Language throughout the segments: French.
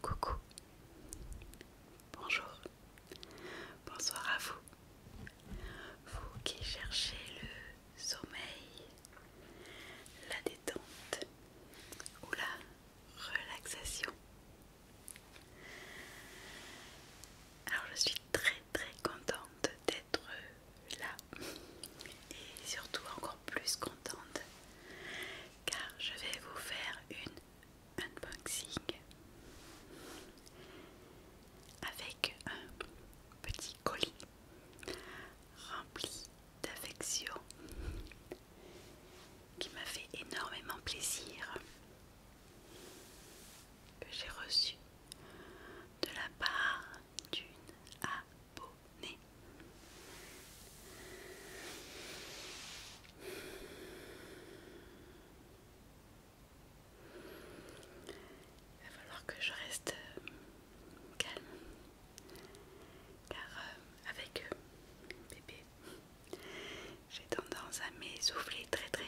Coucou, bonjour, bonsoir à vous, vous qui cherchez le sommeil, la détente ou la relaxation. Alors je suis très très contente d'être là et surtout encore plus contente car je vais vous faire une unboxing avec un petit colis rempli d'affection qui m'a fait énormément plaisir que j'ai reçu de la part d'une abonnée. Il va falloir que je reste euh, calme car euh, avec euh, bébé j'ai tendance à m'essouffler très très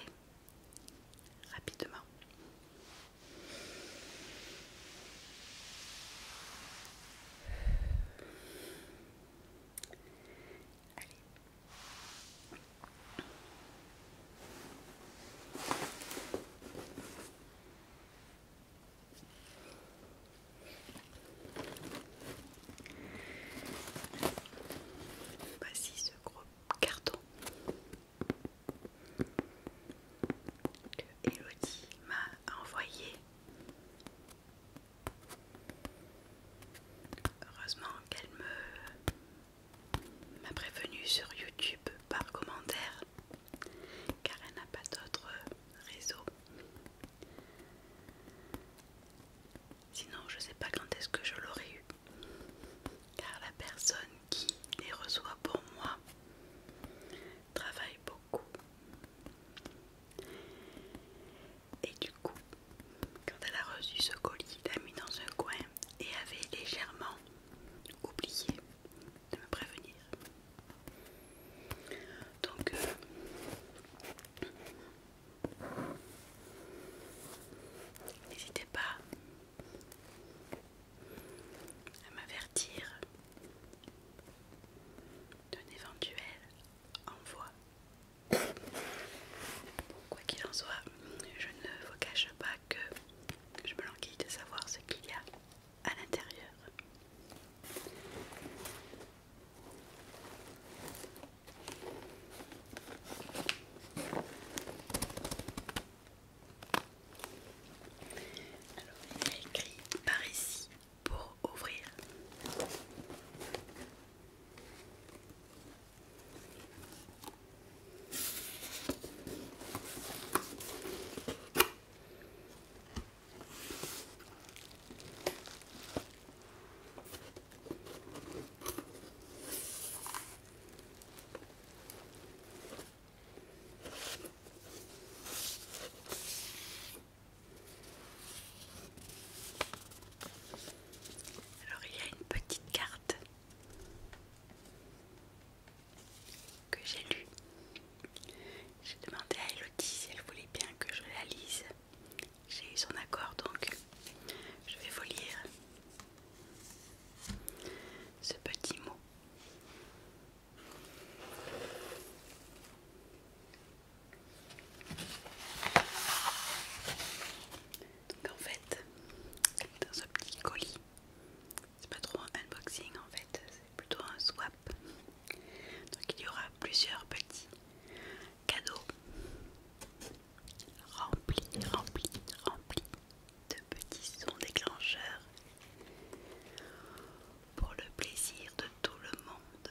rapidement. Voici bah, ce gros carton que Elodie m'a envoyé. Heureusement qu'elle me m'a prévenue sur YouTube par commentaire car elle n'a pas d'autre réseau. Sinon, je sais pas quand est-ce que je l'aurais eu. Car la personne qui les reçoit pour moi travaille beaucoup. Et du coup, quand elle a reçu ce colis, il l'a mis dans un coin et avait légèrement oublié de me prévenir. Donc, euh, n'hésitez pas à m'avertir d'un éventuel envoi. quoi qu'il en soit, je ne vous cache pas que je me languis de savoir ce qu'il y a à l'intérieur. Alors, il a écrit par ici pour ouvrir. Alors il y a une petite carte que j'ai lu. J'ai demandé à Elodie si elle voulait bien que je la lise. J'ai eu son accord donc je vais vous lire ce petit mot. Donc en fait, dans ce petit colis, c'est pas trop un unboxing en fait, c'est plutôt un swap. Donc il y aura plusieurs petits cadeaux remplis, remplis, remplis de petits sons déclencheurs pour le plaisir de tout le monde.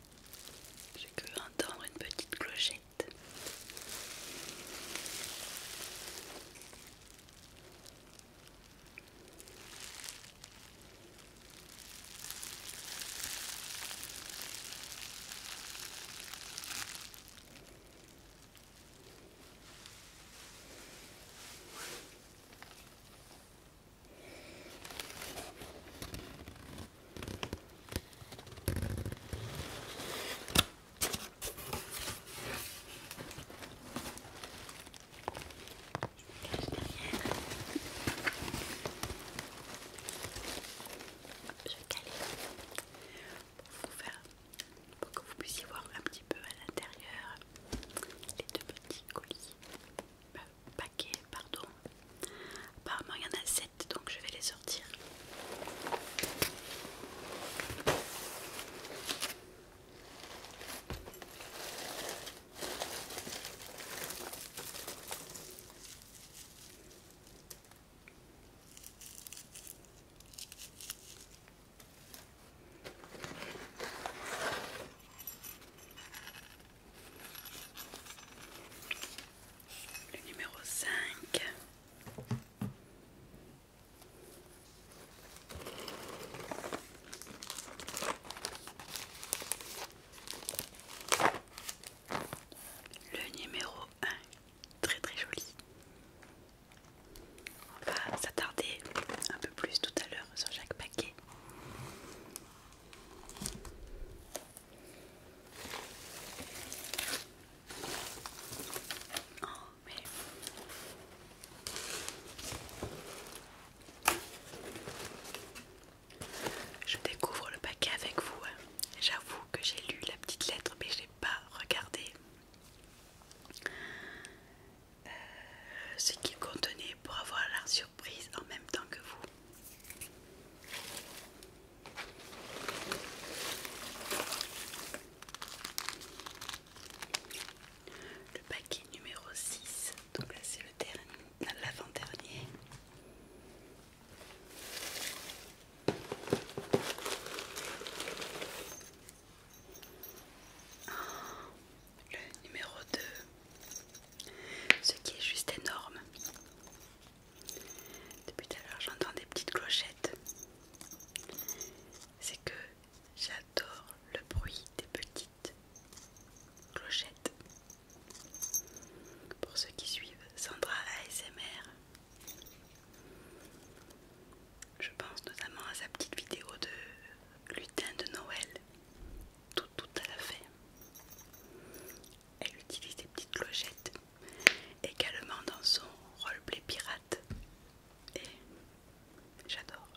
J'ai cru entendre une petite clochette. Je caler pour faire, pour que vous puissiez voir un petit peu à l'intérieur les deux petits colis. Bah, paquets, pardon. Apparemment, il y en a 7, donc je vais les sortir. Le numéro 5. Le numéro 1, très très joli. On va s'attarder un peu plus tout à l'heure sur chaque paquet. Oh, je découvre le paquet avec vous. Hein. J'avoue que j'ai lu la petite lettre, mais j'ai pas regardé euh, ce qu'il contenait pour avoir la surprise en même temps que vous. Le paquet numéro 6, donc là c'est l'avant-dernier. Oh, le numéro 2 ce qui est juste énorme. Depuis tout à l'heure, j'entends des petites clochettes. C'est que j'adore le bruit des petites clochettes. Pour ceux qui suivent Sandra ASMR, je pense notamment à sa petite vidéo de lutin de Noël, tout, tout à la fin elle utilise des petites clochettes également dans son roleplay pirate et j'adore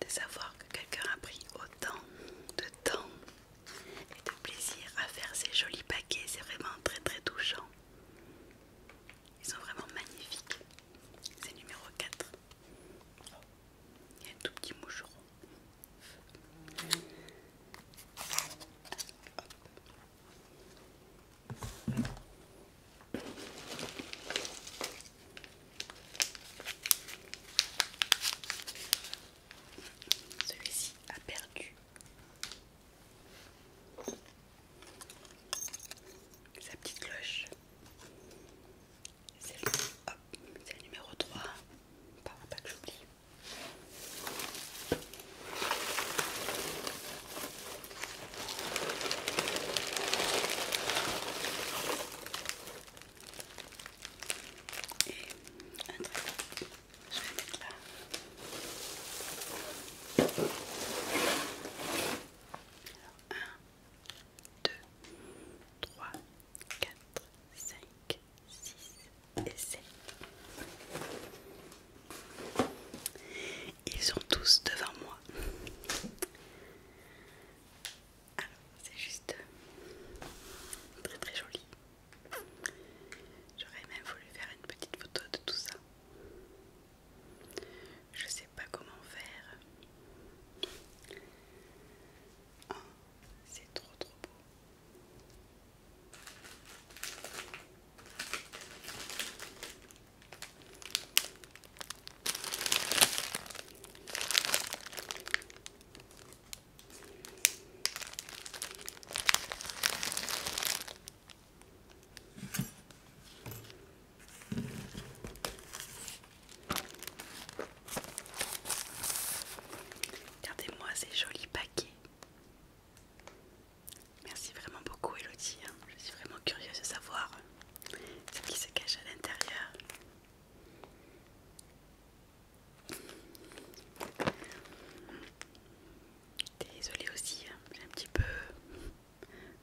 de savoir que quelqu'un a pris autant de temps et de plaisir à faire ces jolis paquets. C'est vraiment très très touchant. Ils sont vraiment magnifiques. C'est numéro 4. Il y a un tout petit moucheron. Celui-ci a perdu. Sa petite cloche. C'est le, numéro 3. Pas, pas que j'oublie. Je vais mettre là. Alors, 1, 2, 3, 4, 5, 6 et 7. Ils sont tous devant moi. Alors, c'est juste très très joli. J'aurais même voulu faire une petite photo de tout ça. Je sais pas comment faire. Oh, c'est trop trop beau. Regardez-moi ces jolis paquets. Merci vraiment beaucoup Elodie. Hein. Je suis vraiment curieuse de savoir ce qui se cache à l'intérieur. Désolée aussi, hein, j'ai un petit peu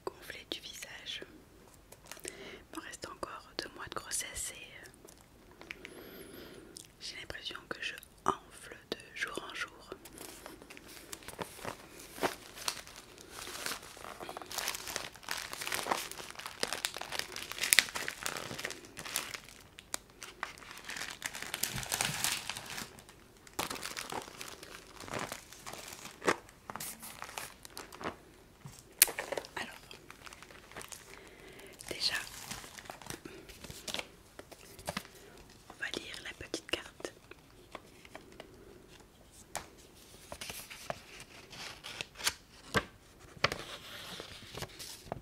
gonflé du visage. Il me reste encore deux mois de grossesse et euh, j'ai l'impression que je enfle de jour en jour. Alors, déjà, on va lire la petite carte.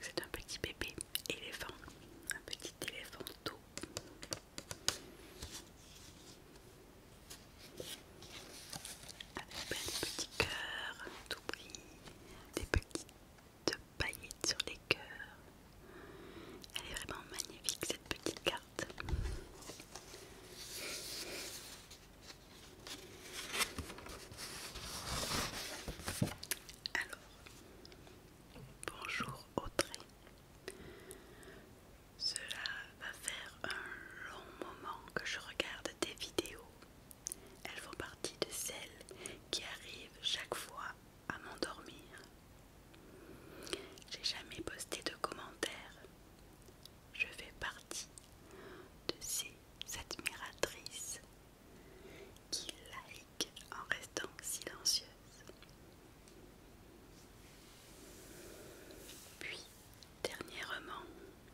C'est un petit bébé éléphant, un petit éléphant tout Avec plein de petits cœurs, tout bris, des petites paillettes sur les cœurs. Elle est vraiment magnifique cette petite carte. Alors, bonjour Audrey. Cela va faire un long moment que je regarde tes vidéos. Elles font partie de celles qui arrivent chaque fois à m'endormir. J'ai jamais posté de commentaires. Je fais partie de ces admiratrices qui like en restant silencieuses. Puis, dernièrement,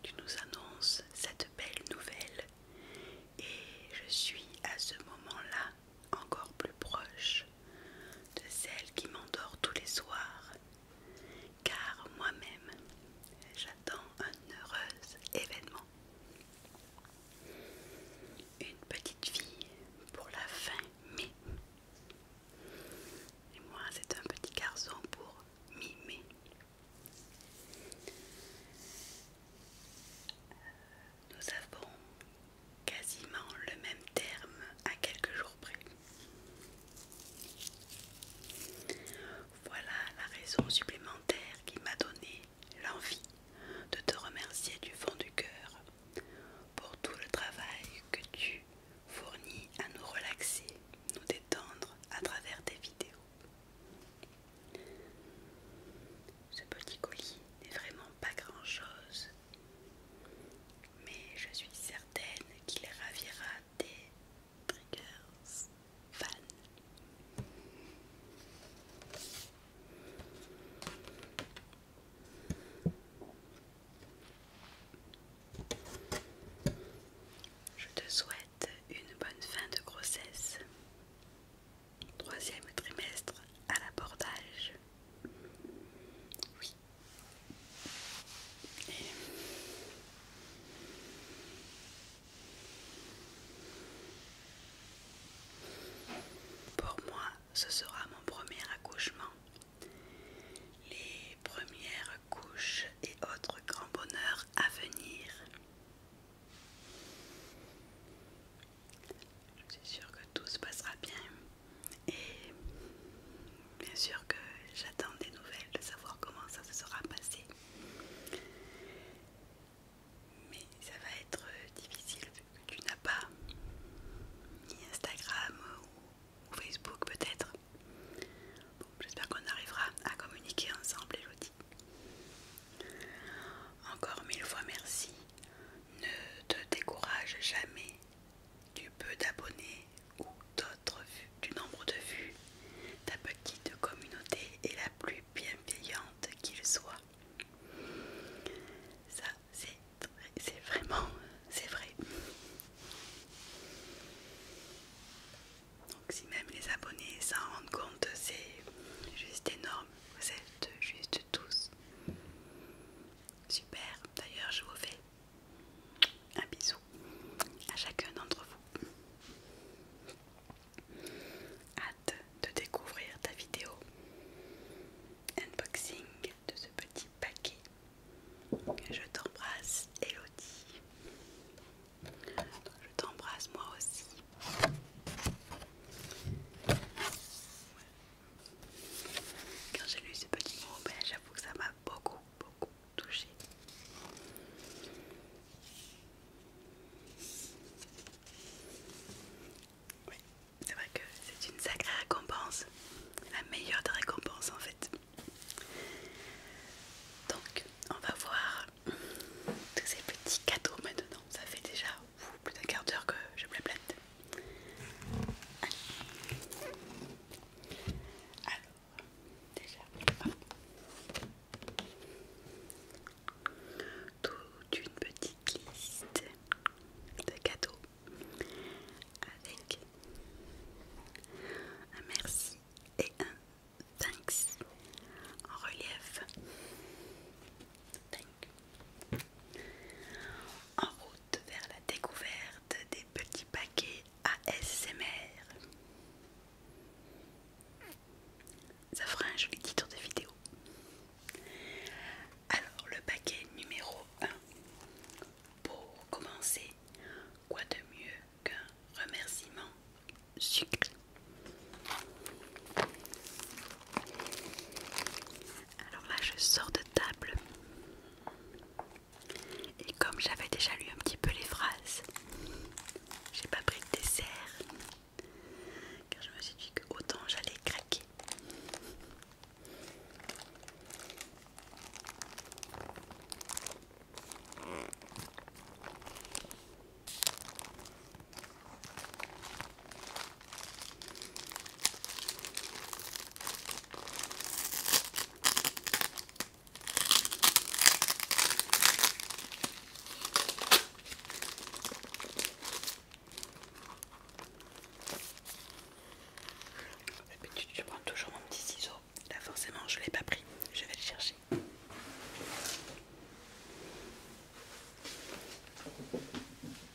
tu nous annonces cette belle nouvelle et je suis à ce moment-là encore plus proche de celle qui m'endort tous les soirs, car moi-même j'attends un heureux événement. Une petite fille pour la fin mai. Et moi, c'est un petit garçon pour mi-mai. Euh, nous avons quasiment le même terme à quelques jours près. Voilà la raison supplémentaire qui m'a donné l'envie de te remercier du fond du cœur pour tout le travail que tu fournis à nous relaxer, nous détendre à travers tes vidéos. Ce petit colis n'est vraiment pas grand-chose, mais je suis certaine qu'il ravira des triggers fans. Je te souhaite une bonne fin de grossesse. Troisième trimestre à l'abordage. Pour moi, ce sera mon premier accouchement. Les premières couches et autres grands bonheurs à venir. Je suis sûre que tout se passera bien. Et bien sûr que j'attends des nouvelles de savoir comment ça se sera passé. Mais ça va être difficile vu que tu n'as pas ni Instagram ou, Facebook peut-être. Bon, j'espère qu'on arrivera à communiquer ensemble, Elodie. Encore mille fois merci. Ne te décourage jamais du peu d'abonnés ou d'autres du nombre de vues, ta petite communauté est la plus bienveillante qu'il soit. Ça, c'est vraiment, c'est vrai. Donc si même les abonnés s'en rendent compte, c'est juste énorme. Vous êtes juste tous. Super, d'ailleurs je vous fais un bisou à chacun d'entre vous. Hâte de découvrir ta vidéo unboxing de ce petit paquet. Je t'embrasse, Elodie. Je t'embrasse moi aussi. Quand j'ai lu ce petit mot, ben, j'avoue que ça m'a beaucoup, beaucoup touchée. Oui, c'est vrai que c'est une sacrée récompense, la meilleure des récompenses en fait. Donc, on va voir tous ces petits cadeaux maintenant. Ça fait déjà plus d'un quart d'heure que je me la alors, déjà, toute une petite liste de cadeaux avec un merci et un thanks en relief. En route vers la découverte des petits paquets ASMR. Ça fera un joli titre de vidéo. Alors, le paquet numéro 1. Pour commencer, quoi de mieux qu'un remerciement sucré? Alors là, je sors de table. Et comme j'avais déjà lu un petit peu les phrases, j'ai pas pris de dessert. Car je me suis dit que autant j'allais craquer je prends toujours mon petit ciseau. Là, forcément, je ne l'ai pas pris. Je vais le chercher.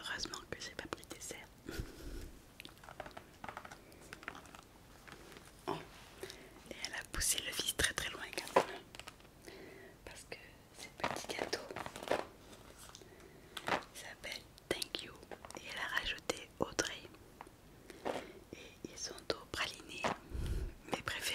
Heureusement que j'ai pas pris dessert. Oh. et elle a poussé le vis très très loin quand même. Parce que petit petit gâteau s'appelle Thank You et elle a rajouté Audrey et ils sont au praliné, mes préférés.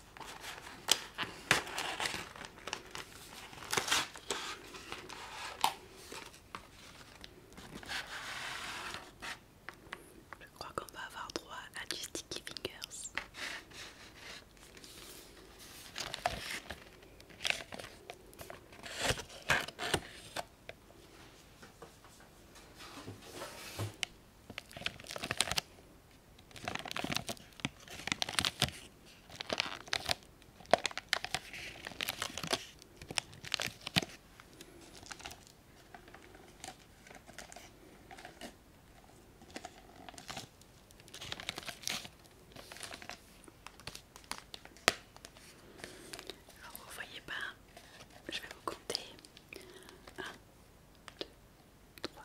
Je crois qu'on va avoir droit à du sticky fingers. Alors vous ne voyez pas, je vais vous compter 1, 2, 3,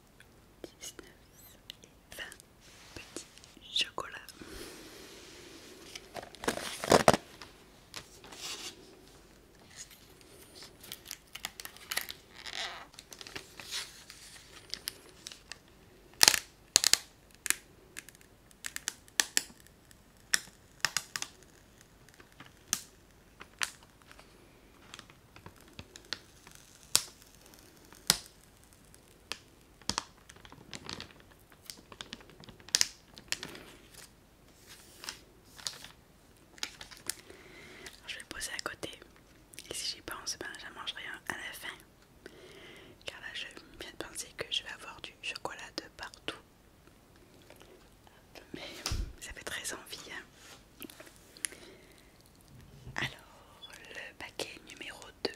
19 et 20 petits chocolats je vais le poser à côté. Et si j'y pense, ben, j'en mangerai rien à la fin. Car là, je viens de penser que je vais avoir du chocolat de partout. Mais ça fait très envie. Hein. Alors, le paquet numéro 2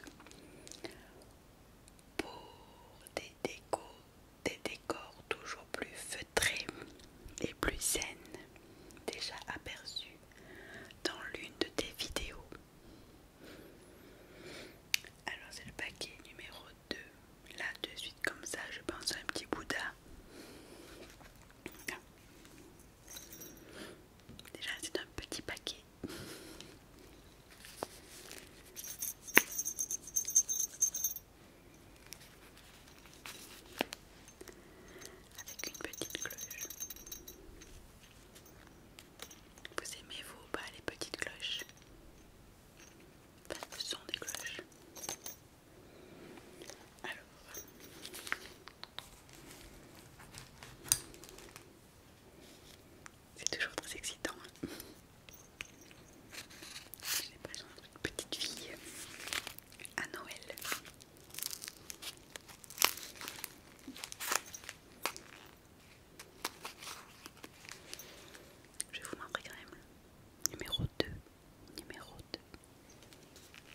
pour des des décors toujours plus feutrés et plus saines, déjà aperçus dans l'une de tes vidéos. Alors, c'est le paquet numéro 2. Là, de suite, comme ça, je pense à un petit Bouddha. Déjà c'est un petit paquet. Avec une petite cloche. Vous aimez vous pas les petites cloches Enfin ce sont des cloches. Alors, c'est toujours très excitant. Hein. J'ai une petite fille à Noël. Je vais vous montrer quand même. Numéro 2. Numéro 2.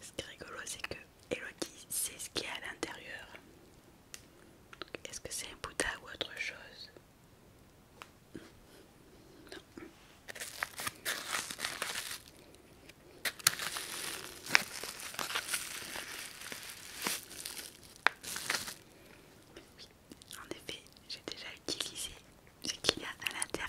Ce qui est rigolo, c'est que Elodie sait ce qu'il y a à l'intérieur. Est-ce que c'est un Bouddha ou autre chose en effet, j'ai déjà utilisé ce qu'il y a à l'intérieur.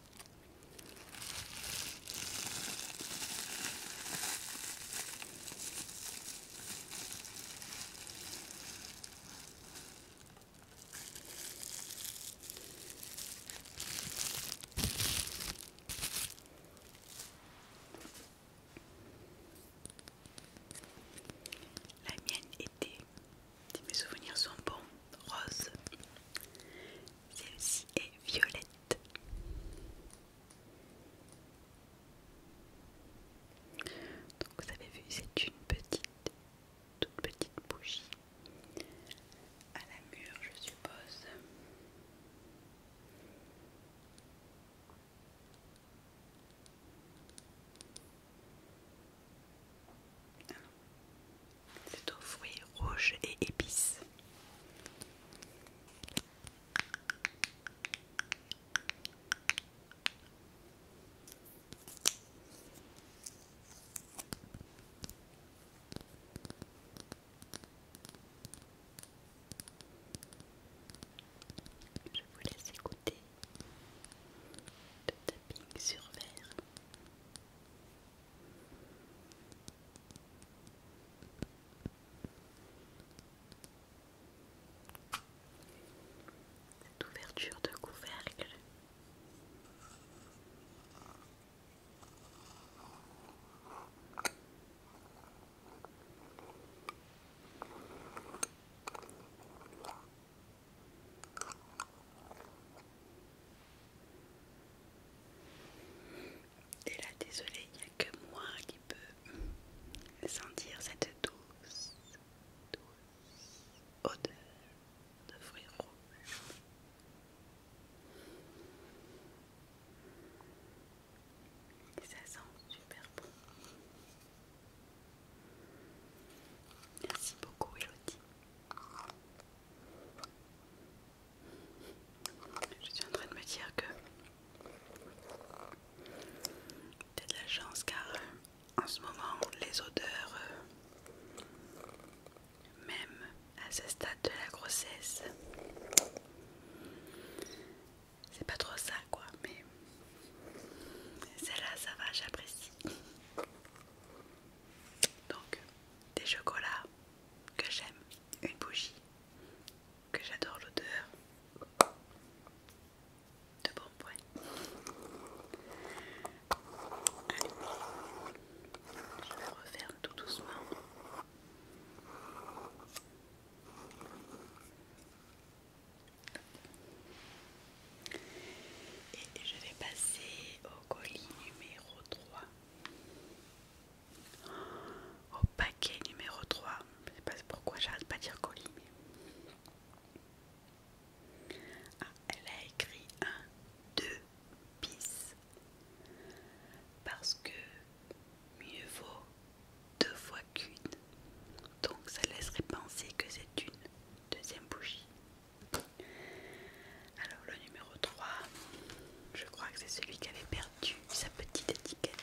La mienne était, si mes souvenirs sont bons, rose. Celle-ci est violette. Donc vous avez vu, c'est une petite, toute petite bougie à la mûre, je suppose. C'est aux fruits rouges et épices. Je vous laisse écouter le tapping sur verre. Cette ouverture de couvercle. Et là, désolé, il n'y a que moi qui peux sentir cette douce, douce odeur de fruits rouges. ça sent super bon. Merci beaucoup Elodie. Je suis en train de me dire que t'as de la chance car euh, en ce moment les odeurs, euh, même à ce stade de la grossesse, c'est pas trop ça quoi, mais celle-là ça va, j'apprécie. Donc des chocolats que j'aime, une bougie que j'adore l'odeur de bon point. Allez, je referme tout doucement. Et je vais passer au colis numéro 3. Au paquet numéro 3, je sais pas pourquoi j'arrête pas de dire colis. Ah, elle a écrit un 2 bis parce que mieux vaut deux fois qu'une. Donc ça laisserait penser que c'est une deuxième bougie. Alors le numéro 3, je crois que c'est celui qui avait perdu sa petite étiquette.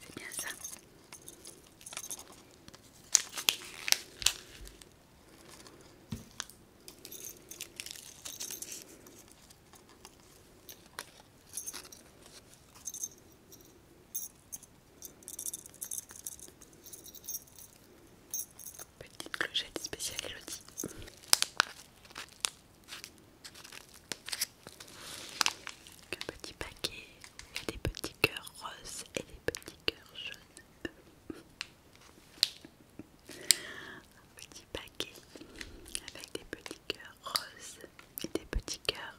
C'est bien ça. Petite clochette spéciale Elodie. Un petit paquet, avec des petits cœurs roses et des petits cœurs jaunes. Un petit paquet avec des petits cœurs roses et des petits cœurs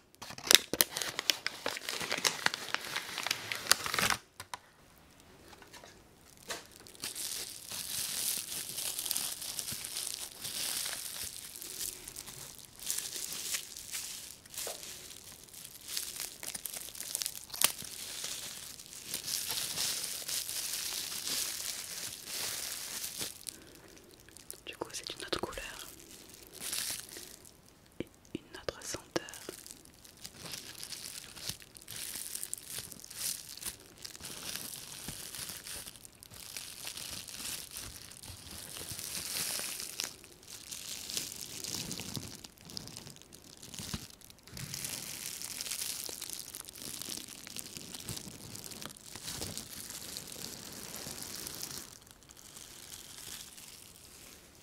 Du coup, c'est une autre couleur une autre senteur.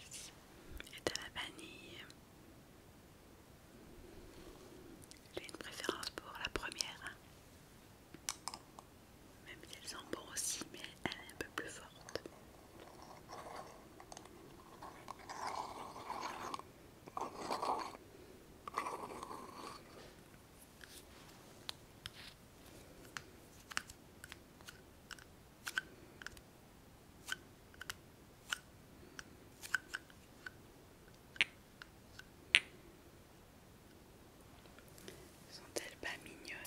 celle est à la vanille. J'ai une préférence pour la première. Même si elles sont bon aussi, mais elle est un peu plus forte. Sont-elles pas mignonnes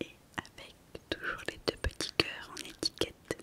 Et avec toujours les deux petits cœurs en étiquette.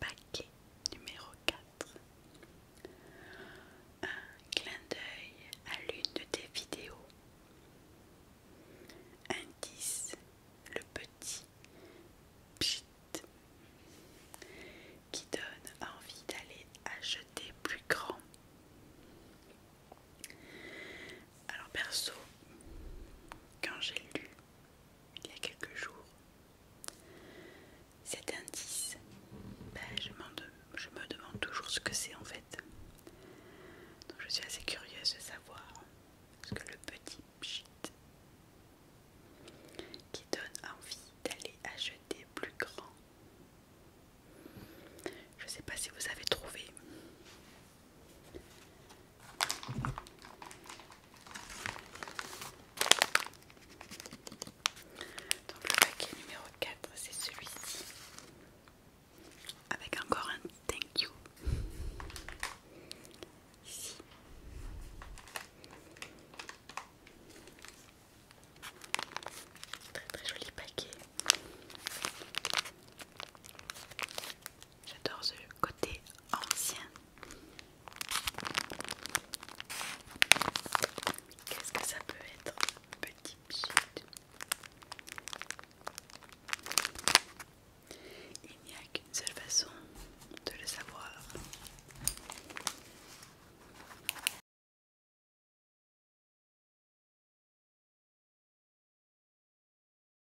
Paquet numéro 4. Un clin d'œil à l'une de tes vidéos. Indice le petit pchit qui donne envie d'aller acheter plus grand. Alors perso, quand j'ai lu il y a quelques jours. Cet indice, ben, je, je me demande toujours ce que c'est en fait. Donc je suis assez curieuse de savoir ce que le petit pchit qui donne envie d'aller acheter plus grand. Je sais pas si vous avez trouvé. Donc le paquet numéro 4 c'est celui-ci avec encore un thank you ici très très joli paquet j'adore ce côté ancien. Qu'est-ce que ça peut être Petit pchit. Il n'y a qu'une seule façon de le savoir.